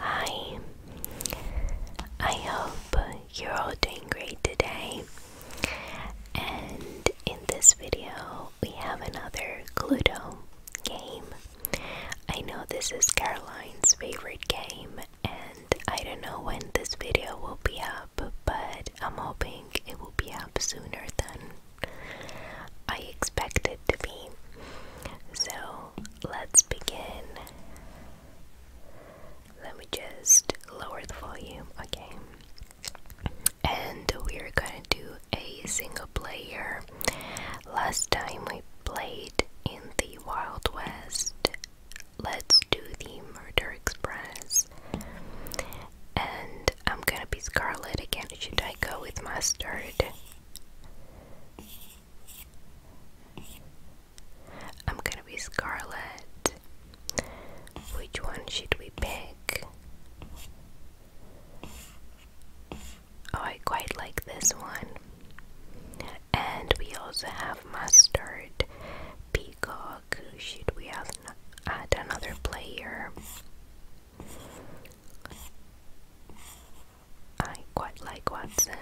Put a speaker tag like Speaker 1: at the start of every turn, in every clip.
Speaker 1: Hi, I hope you're all doing great today. And in this video, we have another Cluedo game. I know this is Caroline's favorite game, and I don't know when this video will be up, but I'm hoping it will be up sooner than I expect it to be. So, let's begin. Let me just lower the volume, okay? And we're gonna do a single player. Last time we played in the Wild West. Let's do the Murder Express. And I'm gonna be Scarlet again. Should I go with Mustard? I'm gonna be Scarlet. Which one should we pick? Oh, I quite like this one. And we also have Mustard, Peacock. Should we add another player? I quite like Watson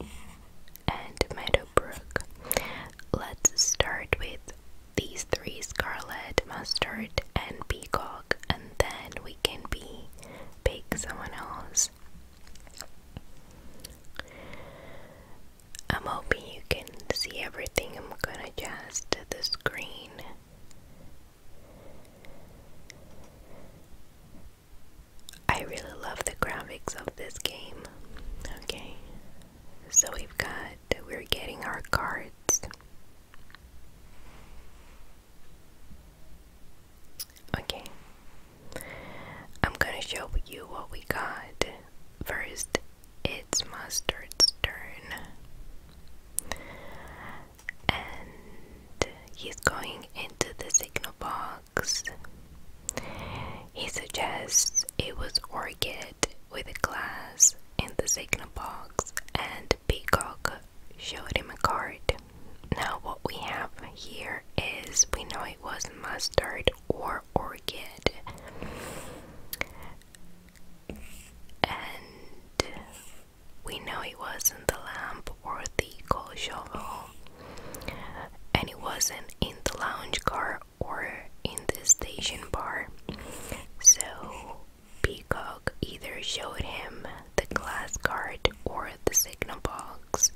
Speaker 1: and Meadowbrook. Let's start with these three Scarlet, Mustard, and Peacock, and then we can be pick someone else. I'm hoping you can see everything. I'm gonna adjust the screen. I really love the graphics of this game. Okay, so we've got, we're getting our cards. Okay, I'm gonna show you what we got. First, it's Mustard's turn and he's going into the signal box. He suggests it was Orchid with a glass in the signal box, and Peacock showed him a card. Now, what we have here is we know it was mustard or orchid, and we know it wasn't the lamp or the coal shovel, and it wasn't in the lounge car or in the station bar. So, Peacock either showed him the glass card or the signal box,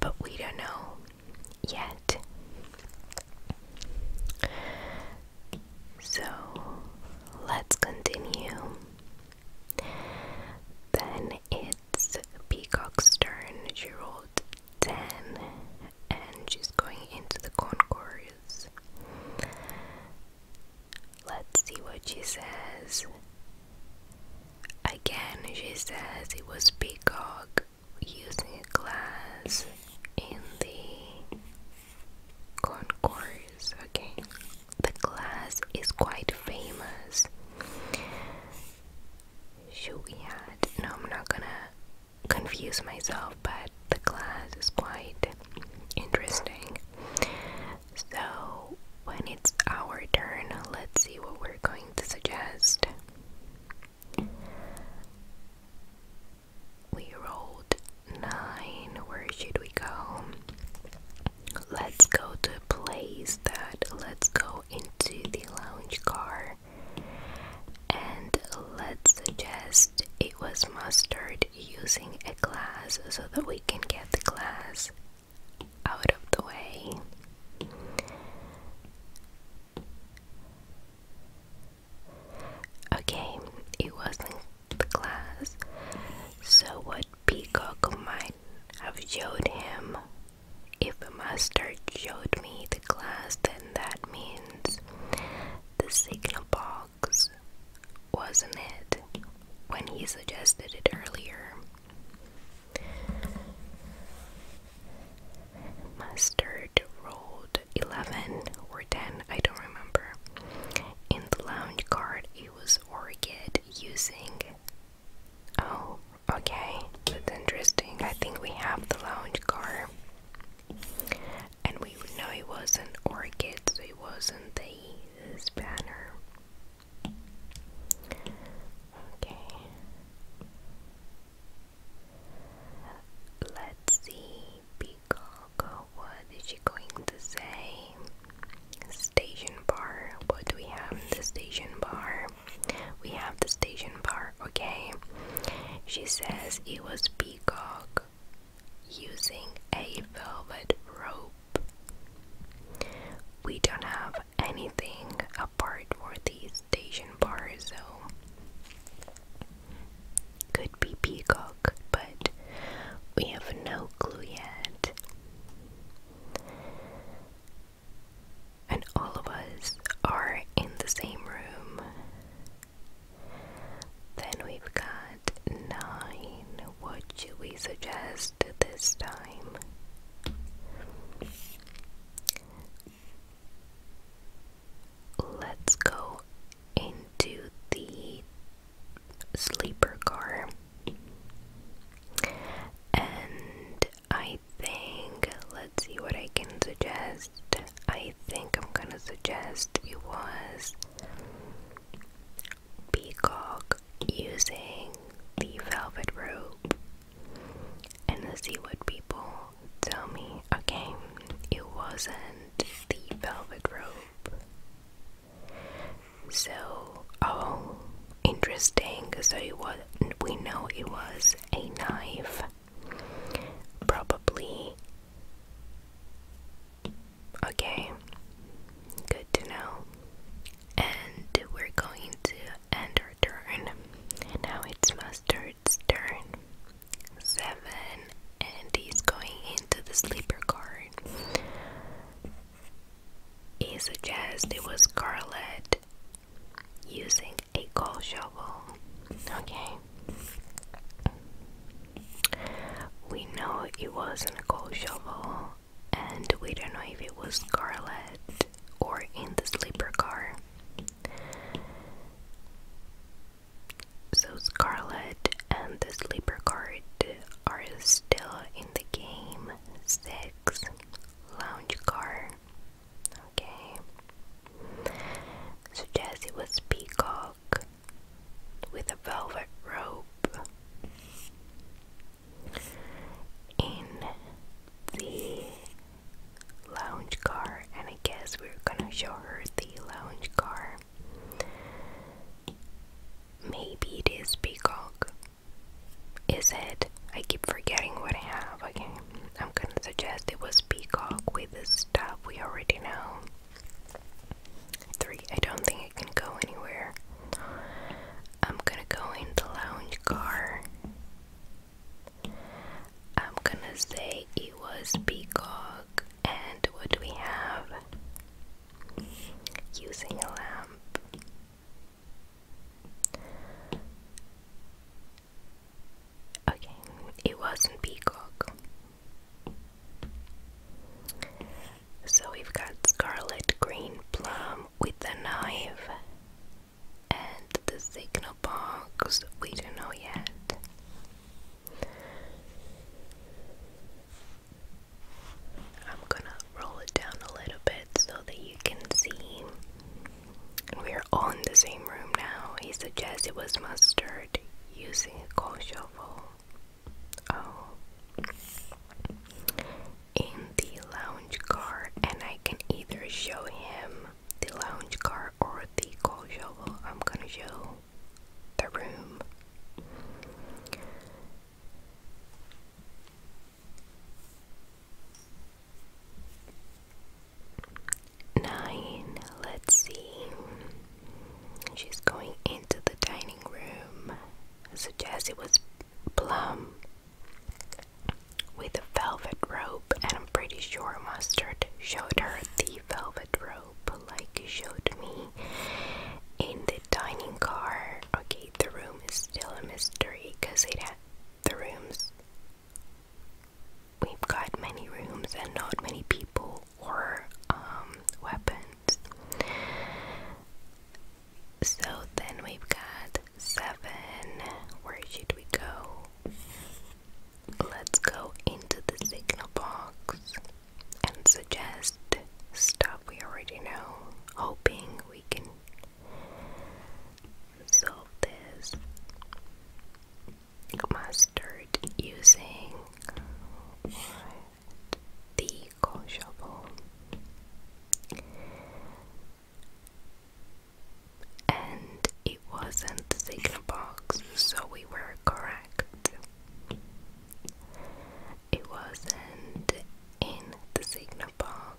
Speaker 1: but we don't know yet. So, let's continue. Then it's Peacock's turn. She 10 and she's going into the concourse. Let's see what she says. Again, she says it was Peacock using a glass in the concourse. Okay, the class is quite famous. Shugihat. No, I'm not gonna confuse myself, but the class is quite interesting. So, when it's our turn, let's see what we're going to suggest. We rolled nine. Where should we go? let's go to a place that let's go into the lounge car and let's suggest it was mustard using a glass so that we can get the glass out of the way. Okay, it wasn't the glass. So, what Peacock might i have showed him. If a master showed me the glass, then that means the signal box wasn't it when he suggested it earlier. Mustard rolled 11 or 10, I don't remember. In the lounge card, he was Orchid using Oh, okay, that's interesting. I think we have the lounge car. And we know it was not orchid, so it wasn't the banner. Okay. Let's see, Peacock, what is she going to say? Station bar. What do we have the station bar? We have the station bar, okay? She says it was Peacock using a velvet rope. We don't have anything apart for these station bars so could be Peacock, but we have no clue yet and all of us are in the same room. Then we've got nine. What should we suggest this time? Let's go into the sleeper car. And I think, let's see what I can suggest. I think I'm gonna suggest it was Peacock using the velvet rope and the us see people tell me. Okay, it wasn't the velvet rope so oh interesting so it was we know it was a knife probably okay good to know and we're going to end our turn now it's mustard's turn seven and he's going into the sleeper card he suggests it was scarlet using a coal shovel. Okay. We know it wasn't a coal shovel, and we don't know if it was Scarlet or in the sleeper car. So Scarlet and the sleeper car are still in the game. Six lounge car. Okay. So Jazzy was peacock with a velvet robe in the lounge car, and I guess we're gonna show her the lounge car. Maybe it is peacock. Is it? I keep forgetting what I have. Okay, I'm gonna suggest it was peacock with the stuff we already know. Three. I don't think it can go anywhere. I'm gonna go in the lounge car. I'm gonna say it was peacock. And what do we have? Using a lamp. Okay, it wasn't Peacock. So we've got Scarlet Green Plum with the knife and the signal box, we don't know yet. I'm gonna roll it down a little bit so that you can see we're all in the same room now. He suggests it was mustard using a coal shovel. Oh. In the lounge car, and I can either show him the lounge car or the coal shovel. I'm gonna show the room. Nine, let's see. She's going into the dining room. I suggest it was plum with a velvet robe, and I'm pretty sure Mustard showed her the velvet robe, like you showed me in the dining car. Okay, the room is still a mystery because it ha the rooms. We've got many rooms and not many people or um, weapons. So then we've got seven. Where should we go? Let's go into the signal box and suggest stuff we already know, hoping we can so this mustard using the coal shovel and it wasn't the box so we were correct it wasn't in the signal box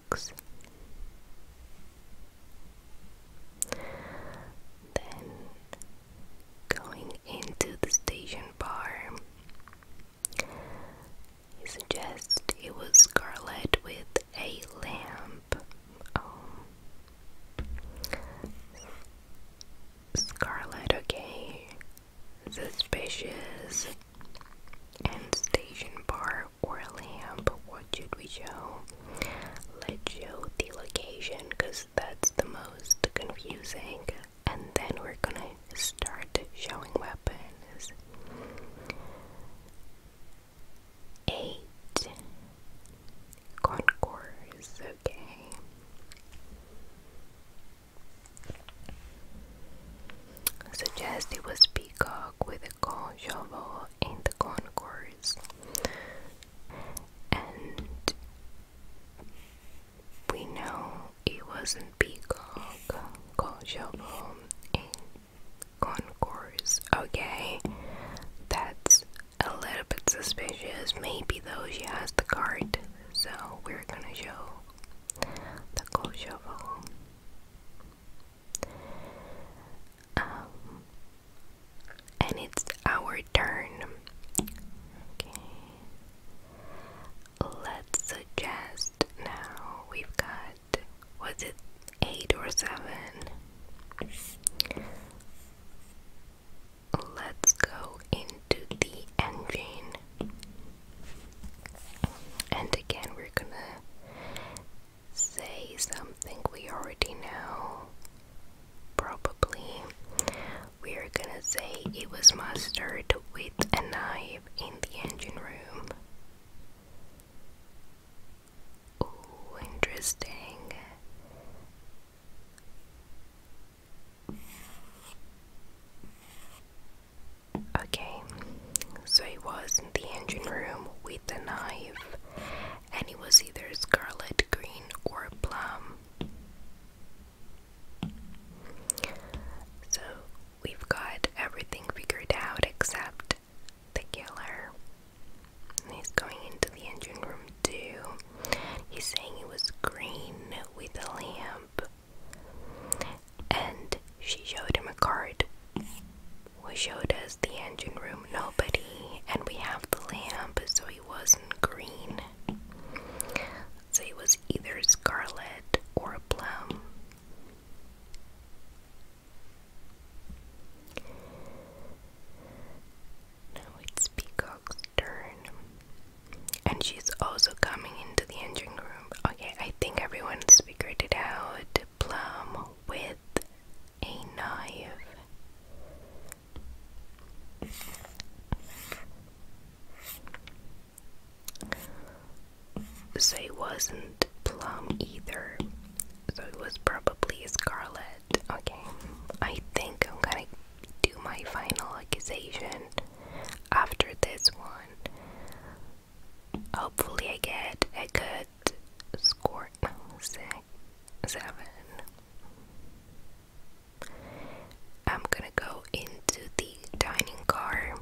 Speaker 1: then going into the station bar, he suggests it was scarlet with a lamp. Oh. Scarlet, okay. Suspicious. And station bar or a lamp, what should we show? Let's show the location because that's the most confusing. And then we're gonna start showing weapons. Eight Concourse, okay. Suggest it was Peacock with a corn shovel in the concourse. And we know it wasn't Peacock, corn in concourse. Okay, that's a little bit suspicious. Maybe though she has the card, so we're gonna show the corn shovel. Um, and it's our turn. Let's suggest now we've got, was it eight or seven? Let's go into the engine. And again, we're gonna say something we already know. Probably. We're gonna say it was mastered with a knife in the engine room. Oh, interesting. Okay, so he was in the engine room with a knife, and he was either scarlet, green, or plum. So we've got everything figured out except the killer. he's going into the engine room too. He's saying it was green with a lamp. And she showed him a card we showed us the engine room nobody and we have the lamp so he wasn't green so it was either scarlet or plum now it's peacock's turn and she's also coming into the engine room okay i think everyone's figured it out plum with a knife. So wasn't plum either. So it was probably scarlet. Okay, I think I'm gonna do my final accusation after this one. Hopefully, I get a good score six, seven. I'm gonna go into the dining car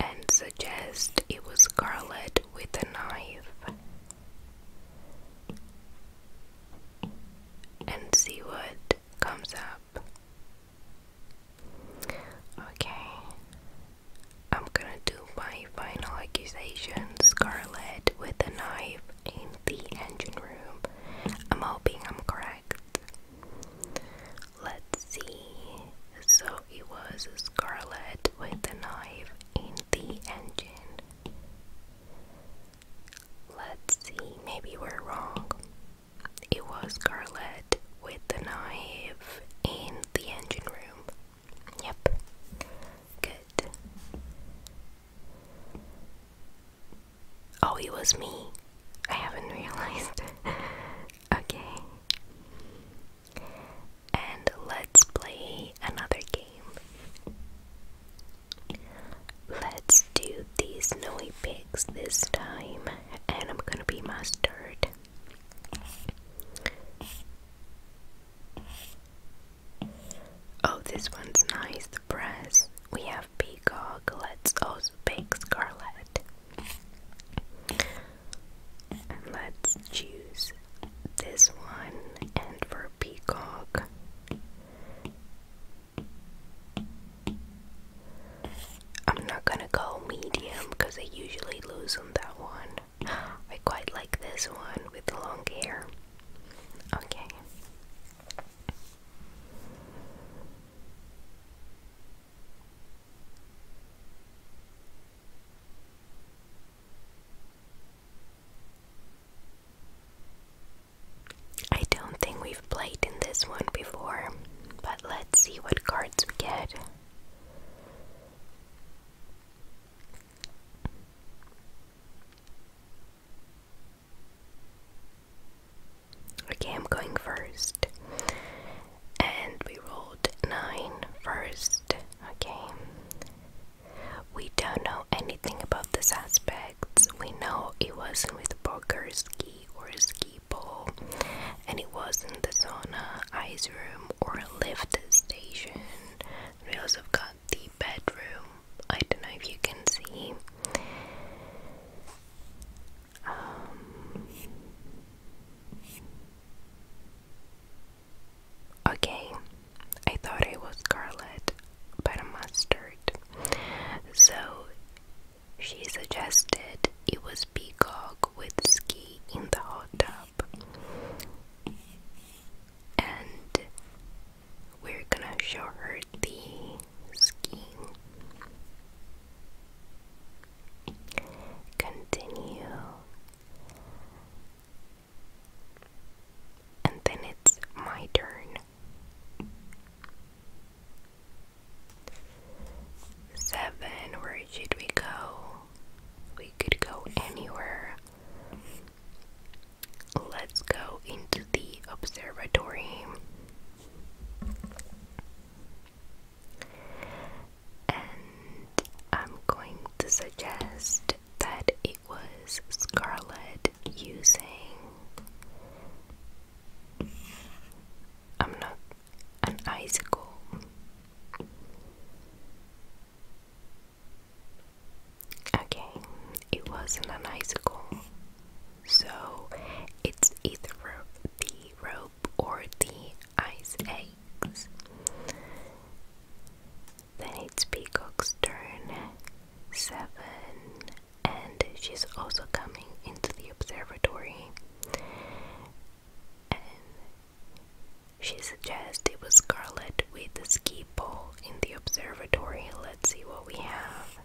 Speaker 1: and suggest it was Scarlet with a knife and see what comes up. Okay, I'm gonna do my final accusation, Scarlet, with a knife in the engine room. I'm hoping I'm correct. Let's see. So it was Scarlet with a knife in the engine. Let's see, maybe we're wrong. It was Scarlet with the knife in the engine room. Yep. Good. Oh, it was me. I haven't realized. okay. And let's play another game. Let's do these snowy pigs this time, and I'm gonna be mustard. Oh, this one's nice. The press. We have peacock. Let's also oh, pick scarlet. let's choose this one. And for peacock, I'm not gonna go medium because I usually lose on that one. I quite like this one with the long hair. Okay. I don't think we've played in this one before, but let's see what cards we get. Okay, I'm going first. And we rolled nine first. Okay. We don't know anything about the suspects. We know it wasn't with poker, ski, or ski ball. And it wasn't the sauna, I or a lift station. We also got the bedroom. I don't know if you can see. Um, okay, I thought it was scarlet, but a mustard. So she suggested it was peacock with ski in the hot tub. And we're gonna show her the skiing. Continue. And then it's my turn. Seven, where should we go? We could go anywhere. Let's go into the observatory. And I'm going to suggest that it was Scarlet using. I'm not an icicle. Okay, it wasn't an icicle, so it's either the rope or the ice eggs. Then it's Peacock's turn, seven, and she's also coming into the observatory she suggests it was Scarlet with the ski pole in the observatory. Let's see what we have.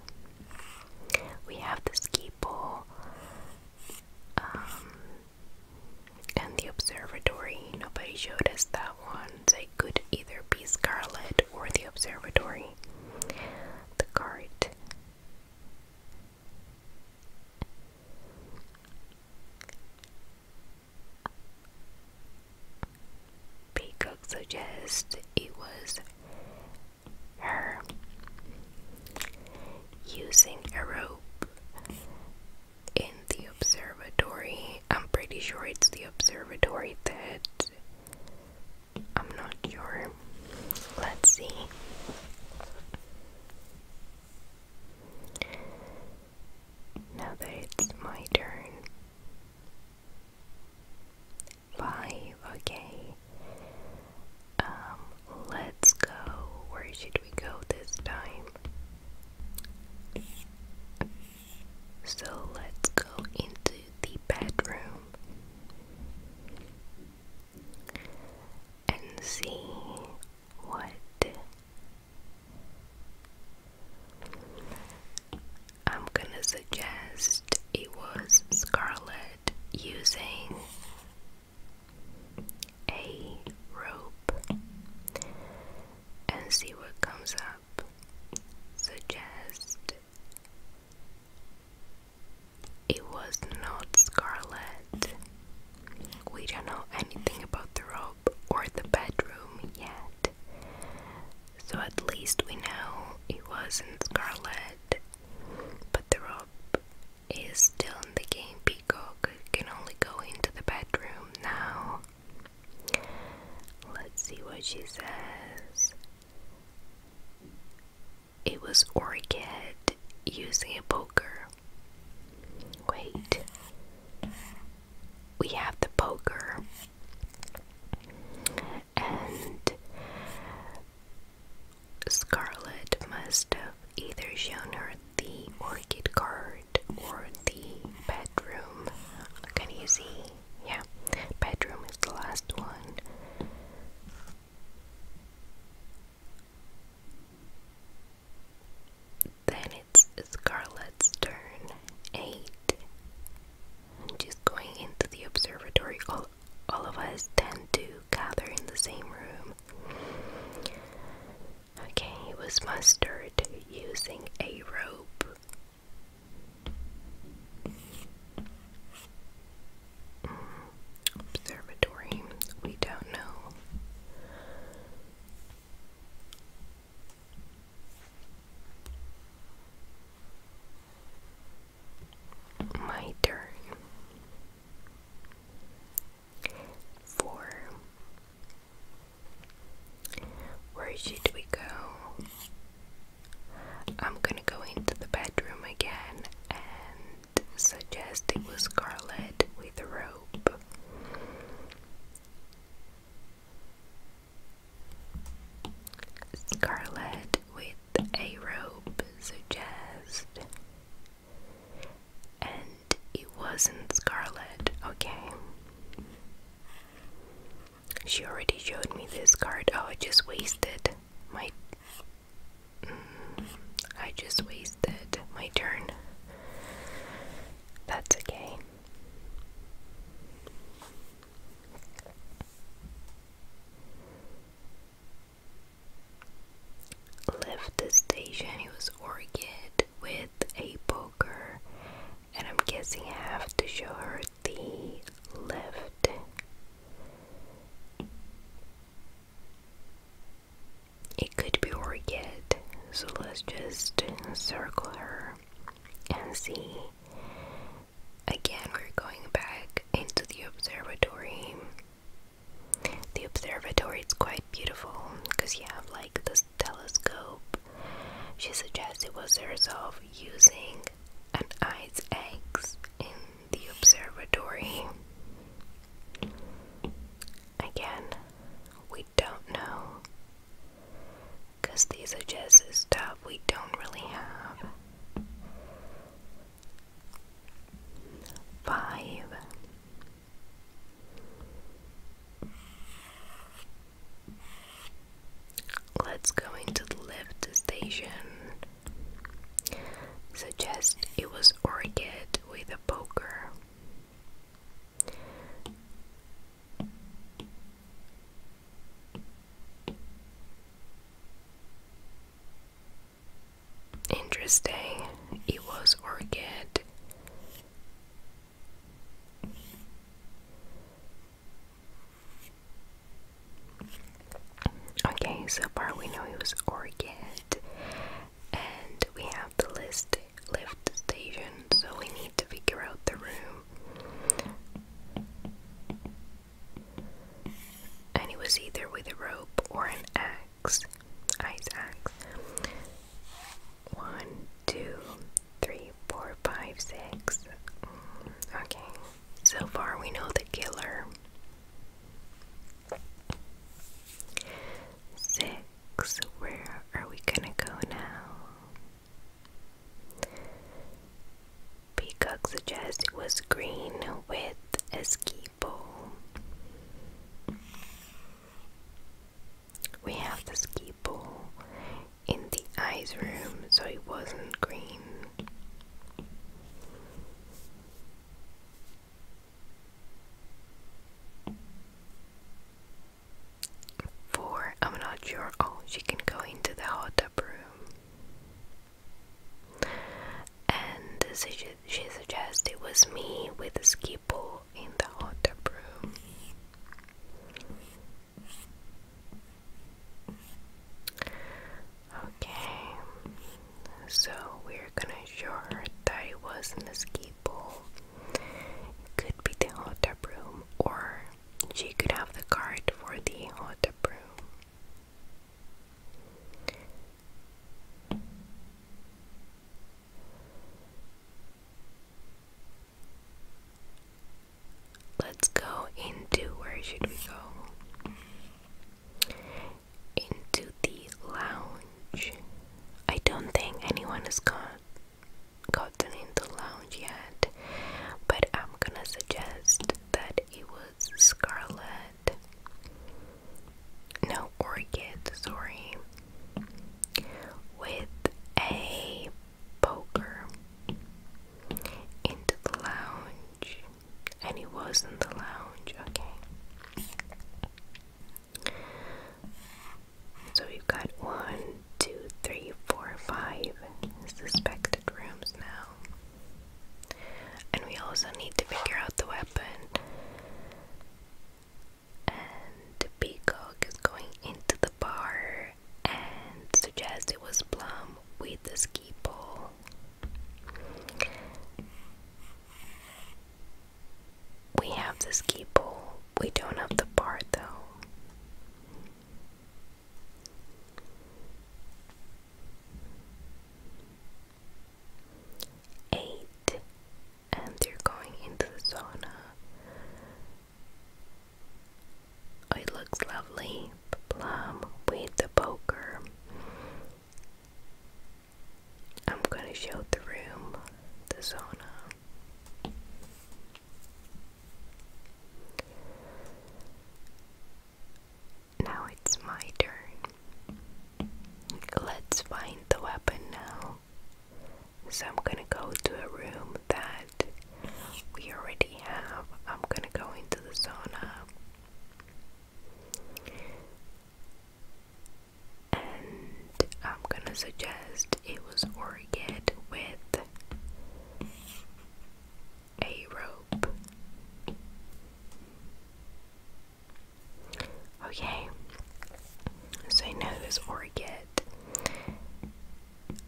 Speaker 1: We have the ski pole um, and the observatory. Nobody showed us that one, so it could either be Scarlet or the observatory. The cart. Peacock suggests it was her using a rope in the observatory. I'm pretty sure it's the observatory that I'm not sure. Let's see. Now that it's my turn. Five, okay. Um, let's go. Where should we go this time? So let's go into the bedroom and see what I'm gonna suggest it was Scarlet using a rope and see what comes up. Suggest it was not Scarlet. We don't know anything about the rope or the bedroom yet. So at least we know it wasn't Scarlet. But the rope is still in the game. Peacock can only go into the bedroom now. Let's see what she says. It was Orchid using a poker. Wait we have the poker and Scarlet must have either shown her the orchid card or the bedroom. Can you see? Yeah, bedroom is the last one. Then it's Scarlett's turn, 8. And she's going into the observatory. All, all of us tend to gather in the same room. Okay, it was mustered using a rope. Mm, observatory, we don't know. My turn. Four. Where should we go? I'm gonna go into the bedroom again and suggest it was Scarlet with a rope. Scarlet with a robe suggest and it wasn't Scarlet, okay. She already showed me this card. Oh, I just wasted my mm, I just wasted my turn. That's okay. Left the station, he was orchid with a poker, and I'm guessing I have to show her the left. It could be orchid so let's just circle her and see. Again, we're going back into the observatory. The observatory is quite beautiful because you have like the telescope. She suggests it was herself using an ice axe in the observatory. Again, we don't know. Because these are just stuff we don't really have. Five. Let's go into the lift station. Suggest it was Orchid with a poker. Interesting. It was orchid. Okay, so far we know it was orchid, and we have the list lift station, so we need to figure out the room. And it was either with a rope or an axe. Ice axe. One, two, three, four, five, six. Mm, okay. So far we know the killer. Six. Where are we gonna go now? Peacock suggests it was green with a ski pole. We have the ski in the ice room, so it wasn't green. Four, I'm not sure. Oh, she can go into the hot tub room. And she, she suggests it was me with the ski pole in the hot tub room. Okay, so we're gonna show her that it wasn't a ski pole could be the hot tub room, or she could have the card for the hot tub room. Let's go into where should we go? Into the lounge. I don't think anyone has gone gotten into lounge yet, but I'm gonna suggest that it was Scarlet. No, Orchid, sorry. With a poker into the lounge, and he was in the lounge, okay. So we've got one, two, three, four, five suspected rooms now. And we also need to figure out the weapon. And Peacock is going into the bar and suggests it was Plum with the ski pole. We have the ski pole. We don't have the bar though. Eight, and you are going into the sauna. Oh, it looks lovely, plum with the poker. I'm gonna show the room, the sauna. Now it's my turn. Let's find the weapon now. So I'm gonna go to a room that we already have. I'm gonna go into the sauna. And I'm gonna suggest it was Orchid with a rope. Okay, so I know it was Orchid.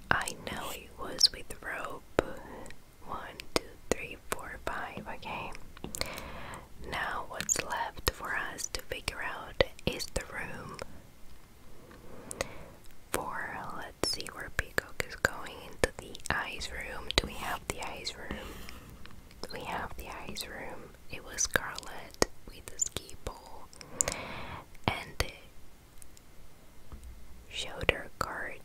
Speaker 1: I know it was with rope. One, two, three, four, five. Okay, now what's left for us to figure out is the room Four, let's see where Peacock is going into the eyes room. Do we have the eyes room? We have the eyes room. It was Scarlet with the ski pole and showed her card.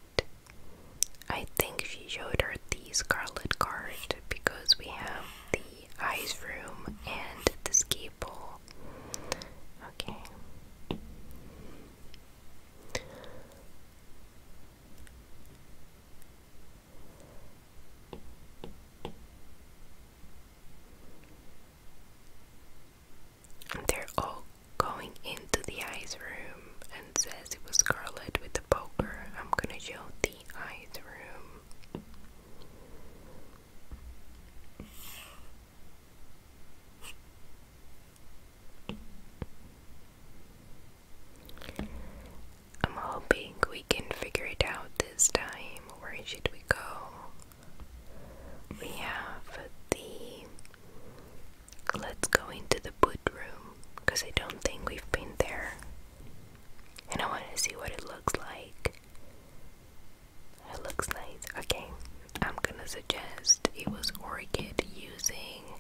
Speaker 1: I think she showed her the Scarlet card because we have the eyes room and the ski Okay. They're all going into the ice room and says it was Scarlet with the poker. I'm gonna show the ice room. I'm hoping we can figure it out this time. Where should we go? We have the. Let's go into the bedroom because I don't think we've been there. And I want to see what it looks like. It looks like Okay, I'm gonna suggest it was Orchid using.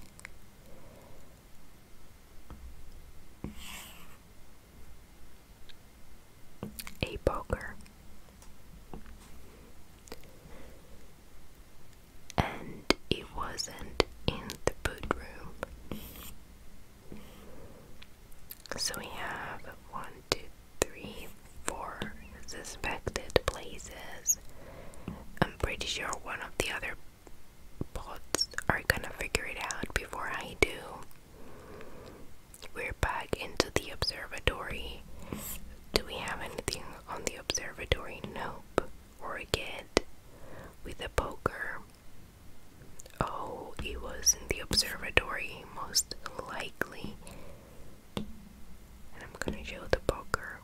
Speaker 1: A poker and it wasn't in the bedroom. So we have one, two, three, four suspected places. I'm pretty sure one of the other bots are gonna figure it out before I do. We're back into the observatory. Do we have anything on the observatory? Nope. Or with a poker. Oh, it was in the observatory, most likely and I'm gonna show the poker.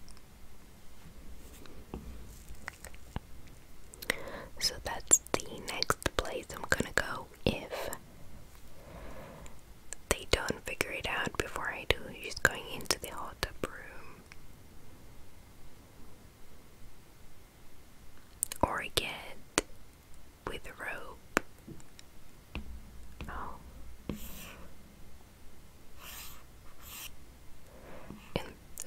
Speaker 1: So that's the next place I'm gonna go if they don't figure it out before I do. She's going into the hot tub room. Or get with a rope Oh.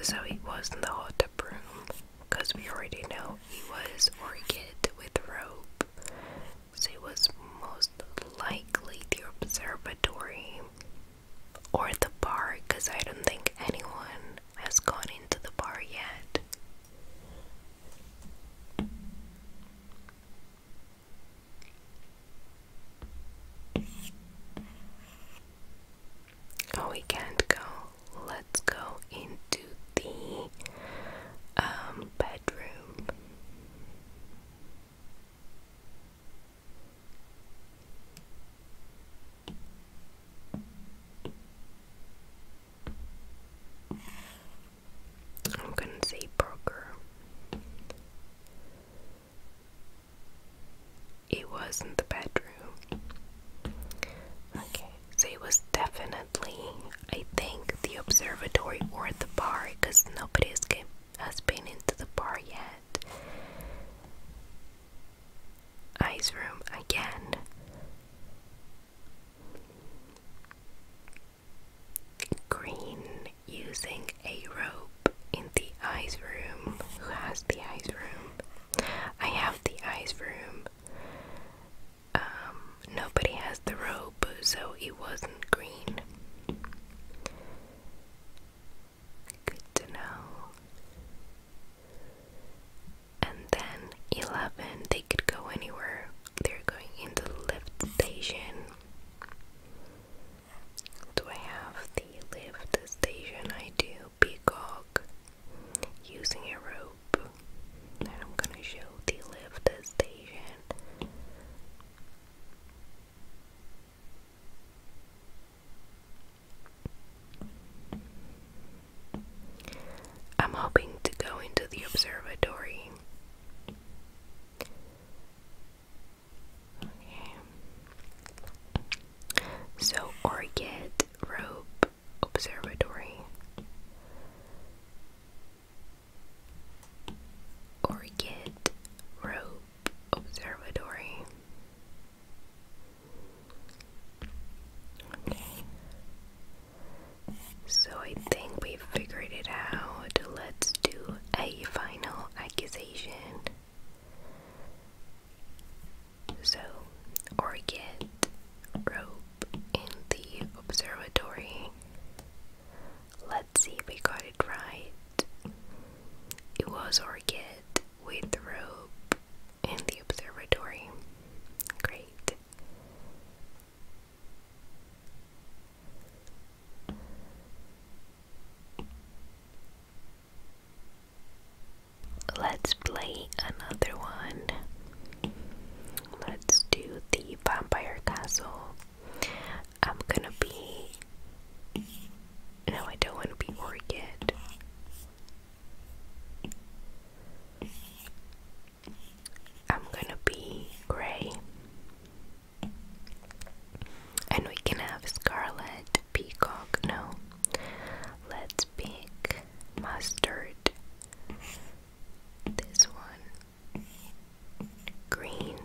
Speaker 1: so he was in the hot tub room, because we already know he was orchid with rope. So he was most likely the observatory or the bar, because I don't think anyone has gone into the bar yet. Oh, we can't go. Let's go into the um, bedroom. I'm gonna say Broker. It was not the bedroom. Okay, so it was definitely, I think, the observatory or the bar because nobody has, has been into the bar yet. Ice room again. Green using a rope in the ice room. Who has the ice room? I have the ice room. Um, nobody has the rope, so it wasn't green. Good to know. And then 11, they could go anywhere. They're going into the lift station. Do I have the lift station? I do. Peacock using a rope. I'm gonna show the lift station. I'm hoping to go into the observatory. So, Orchid Rope Observatory. Orchid Rope Observatory. So I think we figured it out, let's do a final accusation. So, Orchid rope in the observatory. Let's see if we got it right. It was Orchid with rope in the observatory. Great. Let's play another one. Let's do the vampire castle. I'm gonna be. No, I don't want to be Orchid. I'm gonna be Gray. And we can have Scarlet Peacock. No. Let's pick mustard. This one. Green.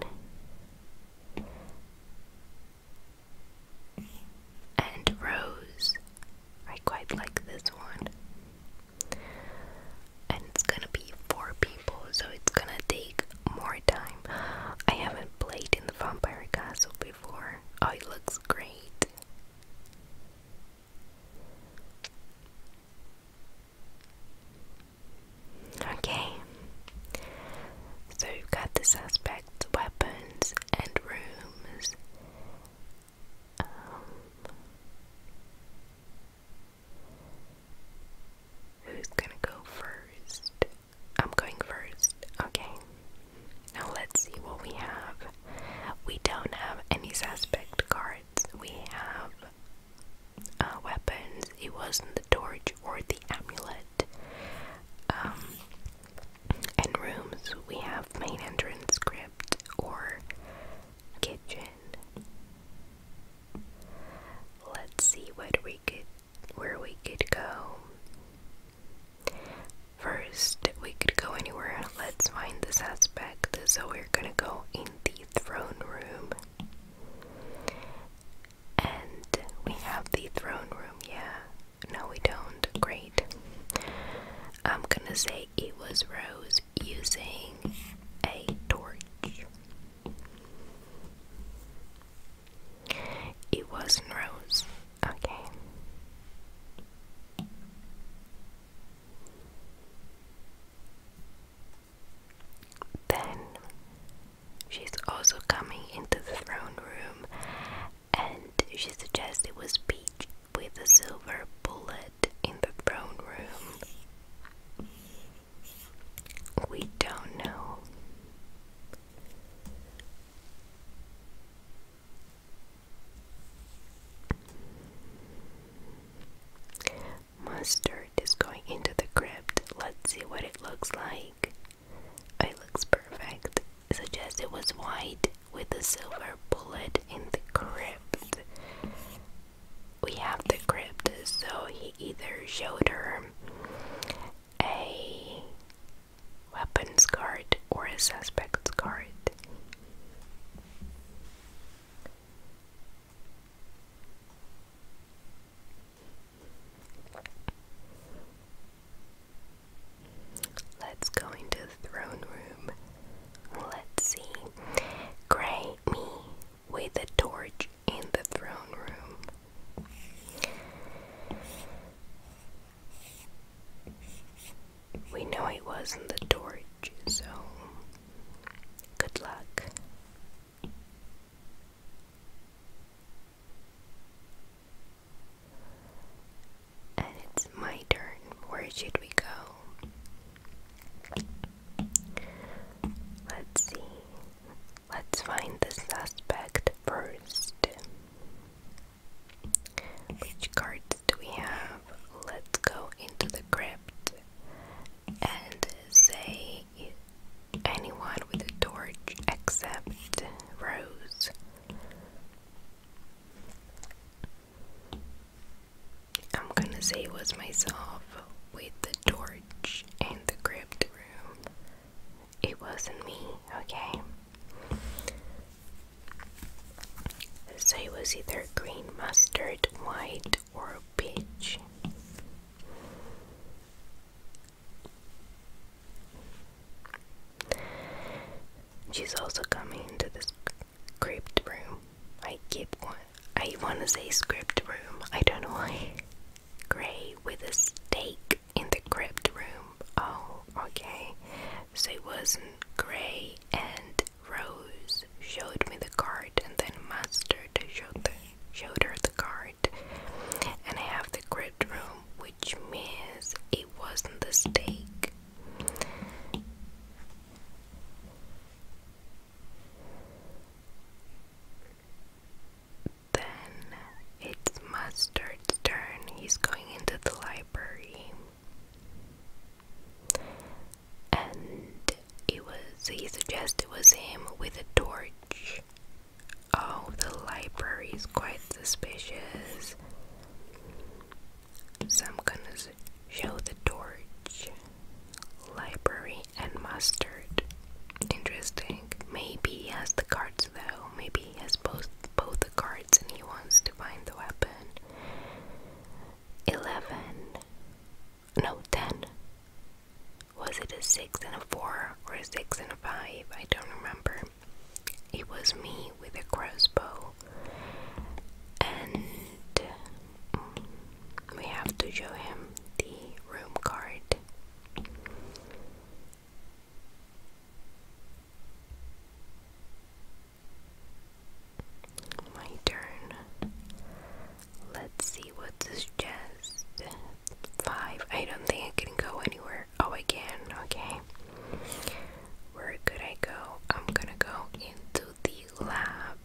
Speaker 1: And rose. I quite like this one. And it's gonna four people, so it's gonna take more time. I haven't played in the Vampire Castle before. Oh, it looks great. Okay, so you've got the suspects, weapons, and rooms. Um, Who's gonna go first? I'm going first. Okay. Now let's see what we have. We don't have any suspect cards. We have uh, weapons. It wasn't the torch or the amulet. Um, and rooms. We have main entrance script or kitchen. Let's see what we could where we could go. First, we could go anywhere. Let's find the suspect. So we're gonna go in the throne room. And we have the throne room, yeah. No, we don't. Great. I'm gonna say it was Rose using a torch. It wasn't Rose. Okay. Then she's also coming into the throne room and she suggests it was Peach with a silver bullet in the throne room. We don't know. Mustard is going into the crypt. Let's see what it looks like. It looks perfect. Suggest it was white with a silver bullet in the crypt. We have the crypt, so he either showed her a weapons guard or a suspect's guard. Let's go into the throne room. Let's see. Gray me with a torch in the throne room. We know it wasn't the torch, so good luck. And it's my turn. Where should we go? Let's see. Let's find the suspect first. Which cards do we have? Let's go into the crypt and say anyone with a torch except Rose. I'm gonna say it was myself with the torch and the crypt room. It wasn't me, okay? So it was either green mustard, white, or peach. She's also coming into this script room. I keep one. I want to say script room. I don't know why. Gray with a stake in the crypt room. Oh, okay. So it wasn't Gray and Rose showed me the card, and then Mustard showed, the, showed her the card. And I have the crypt room, which means it wasn't the stake. Then it's Mustard's turn. He's going into the library. And it was he suggests it was him with a torch. Oh, the library is quite suspicious. So I'm gonna show the torch. Library and mustard. Interesting. Maybe he has the cards though. Maybe he has both both the cards and he wants to find the weapon. Eleven. No, ten. Was it a six and a four or a six and a five? I don't remember. It was me with a crossbow. And mm, we have to show him the room card. My turn. Let's see what this just Five. I don't think I can go anywhere. Oh, I can. Okay. Where could I go? I'm gonna go into the lab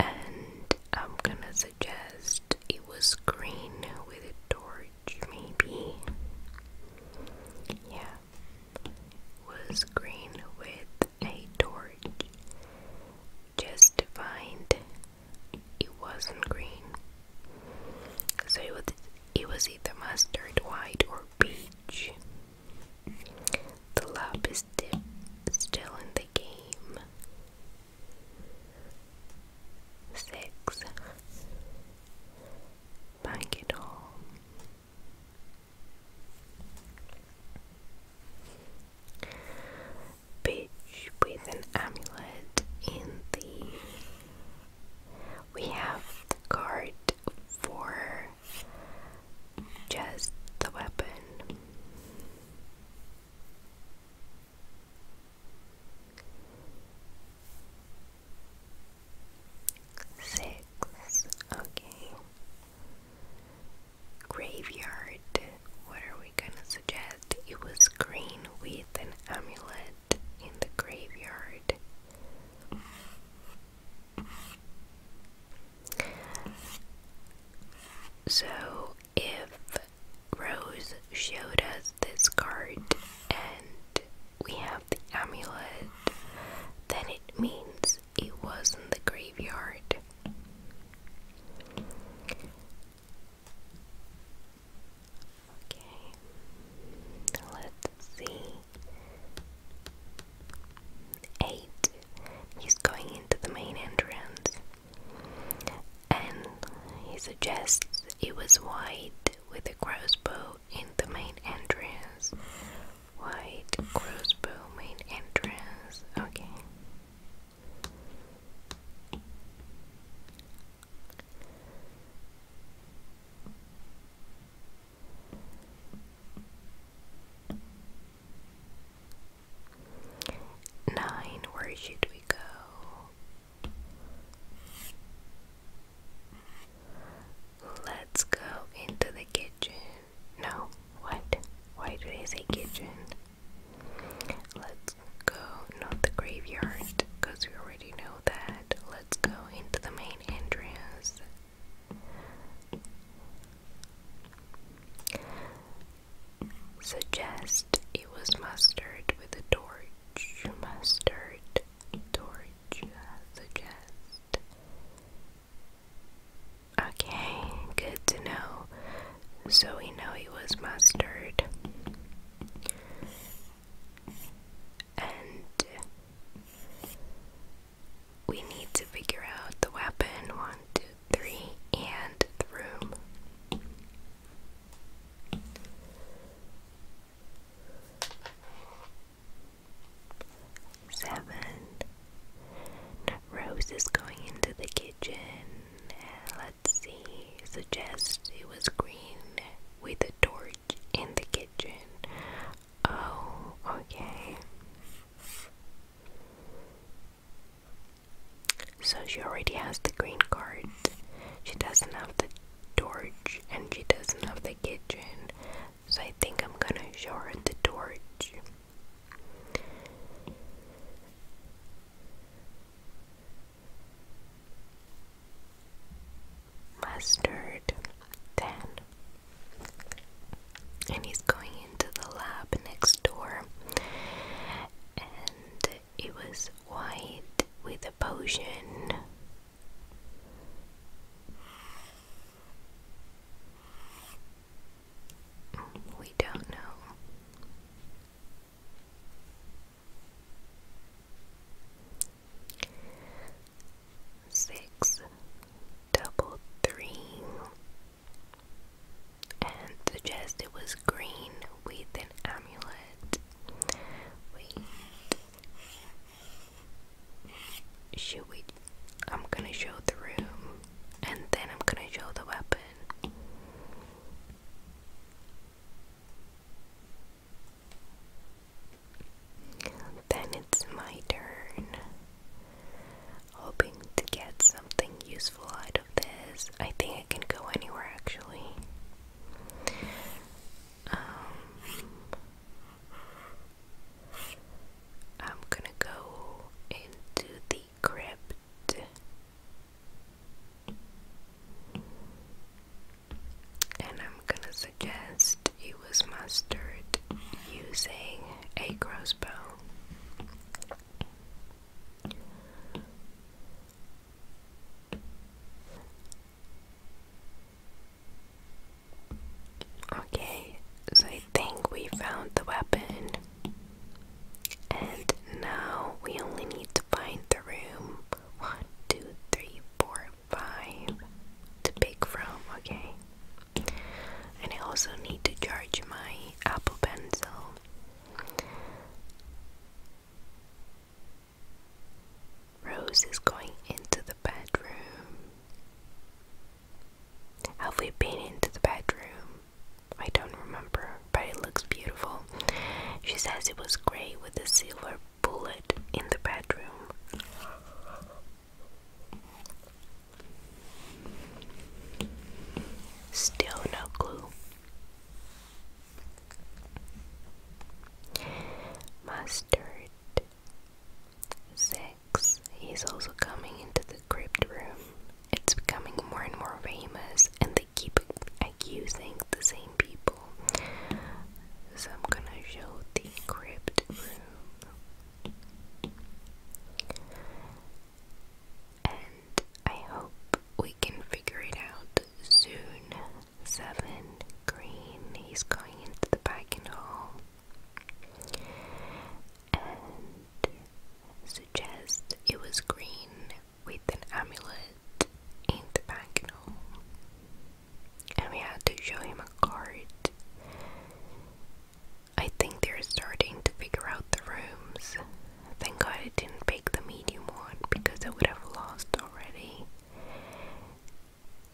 Speaker 1: and I'm gonna suggest it was green with a torch, maybe. Yeah, was green with a torch. Just to find it wasn't green. So it was, it was either mustard white or peach. The lab is still in the game six Bank it all Bitch with an amulet in the we have the card for just the weapon Six, okay. Graveyard, what are we gonna suggest? It was green with an amulet in the graveyard. So, if Rose showed us this card, and we have the amulet, then it means it was in the graveyard. Okay, let's see. Eight. He's going into the main entrance and he suggests it was white with a crossbow in the main entrance. White crossbow main entrance. Okay. Nine, where should we go? Let's go into the kitchen. No, what? Why did I say kitchen? Let's go, not the graveyard, because we already know that. Let's go into the main entrance. Suggest it was mustard with a torch mustard, torch suggest. Okay, good to know. So we know it was mustard. And we need to figure out the weapon one, two, three, and the room. Seven. Rose is going into the kitchen. Uh, let's see. Suggest it was green with a torch in the kitchen. Oh, okay. So she already has the green card. She doesn't have the torch and she doesn't have the kitchen. So I think I'm gonna show her the torch. Mustard, then. And he's going into the lab next door it was white with a potion. We don't know. Six, double three, and the it was green with an amulet. Wait. Should we? I'm gonna show the room and then I'm gonna show the weapon. Then it's my turn. Hoping to get something useful out of this. I think I can go anywhere actually. Um, I'm gonna go into the crypt. And I'm gonna suggest it was mustard using a crossbow. Okay, so I think we found the weapon. And now we only need to find the room. One, two, three, four, five to pick from, okay? And I also need to charge my Apple Pencil. Rose is going into the bedroom. Have we been into the bedroom? I don't remember, but it looks beautiful. She says it was grey with a silver bullet in the bedroom. Still no clue. Mustard Six. He's also coming into the crypt room. It's becoming more and more famous, and they keep accusing the same people. So I'm gonna show the crypt room. And I hope we can figure it out soon. Seven, green, he's going into the packing hall. And suggests it was green with an amulet in the packing hall. And we had to show him a card. I think they're starting to figure out the rooms. Thank God I didn't pick the medium one because I would have lost already.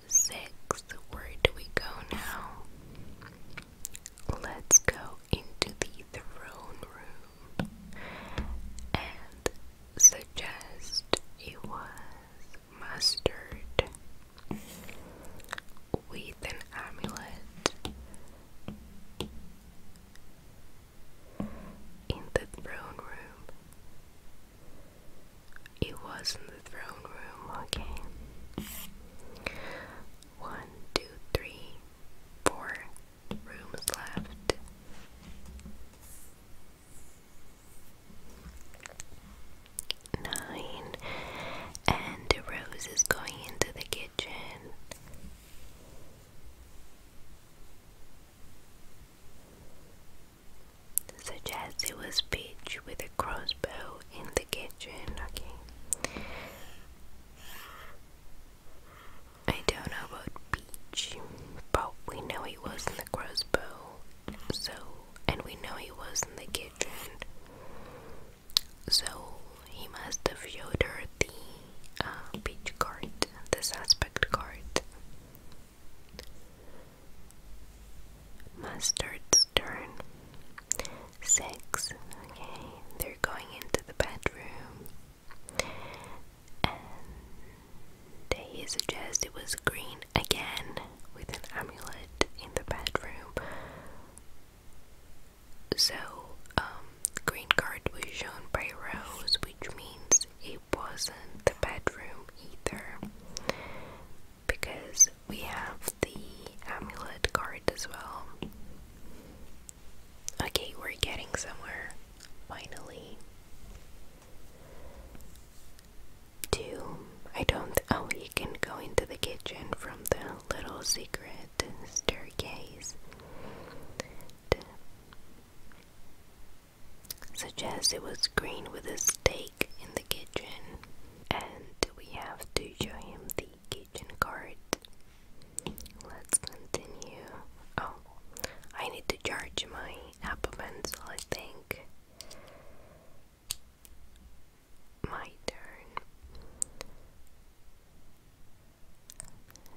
Speaker 1: Six, where do we go now? Let's go into the throne room and suggest it was mustard with an amulet in the throne room. It was in the throne room, okay. One, two, three, four rooms left. Nine, and Rose is going into the kitchen such as it was pitched with a crossbow in the kitchen. Okay. I don't know about Peach, but we know he was not the crossbow, so, and we know he was not the kitchen, so he must have showed the uh, Peach card, the suspect card. Mustard's turn. Six. Okay, they're going into the bedroom. And he suggests it was green again with an amulet in the bedroom. So, um, green card was shown by Rose, which means it wasn't the bedroom either because we have the amulet card as well. Okay, we're getting somewhere finally. Two, I don't. Oh, you can go into the kitchen from the little secret staircase suggests it was green with a steak in the kitchen, and we have to show him the kitchen card. Let's continue. Oh, I need to charge my Apple Pencil, I think. My turn.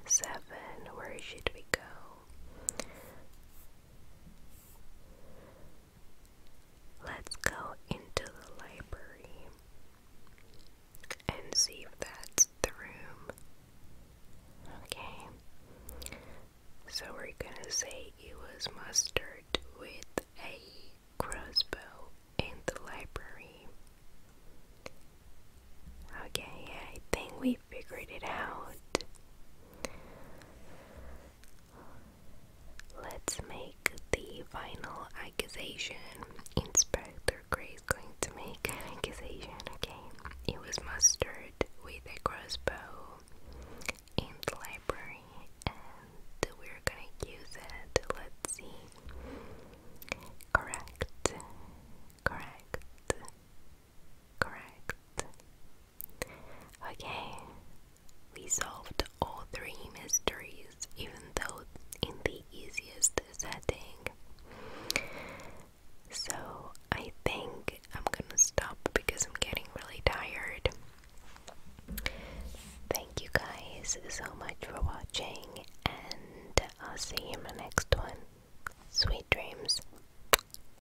Speaker 1: Seven, where should we go? Let's go into the library and see if that's the room. Okay. So we're gonna say it was mustard with a crossbow in the library. Okay, I think we figured it out. Let's make the final accusation. Inspector Gray's going to make accusation, okay? It was mustered with a crossbow in the library, and we're gonna use it. Let's see. Correct. Correct. Correct. Okay, we solved all three mysteries, even though in the easiest setting. So, I think I'm gonna stop because I'm getting really tired. Thank you guys so much for watching, and I'll see you in my next one. Sweet dreams.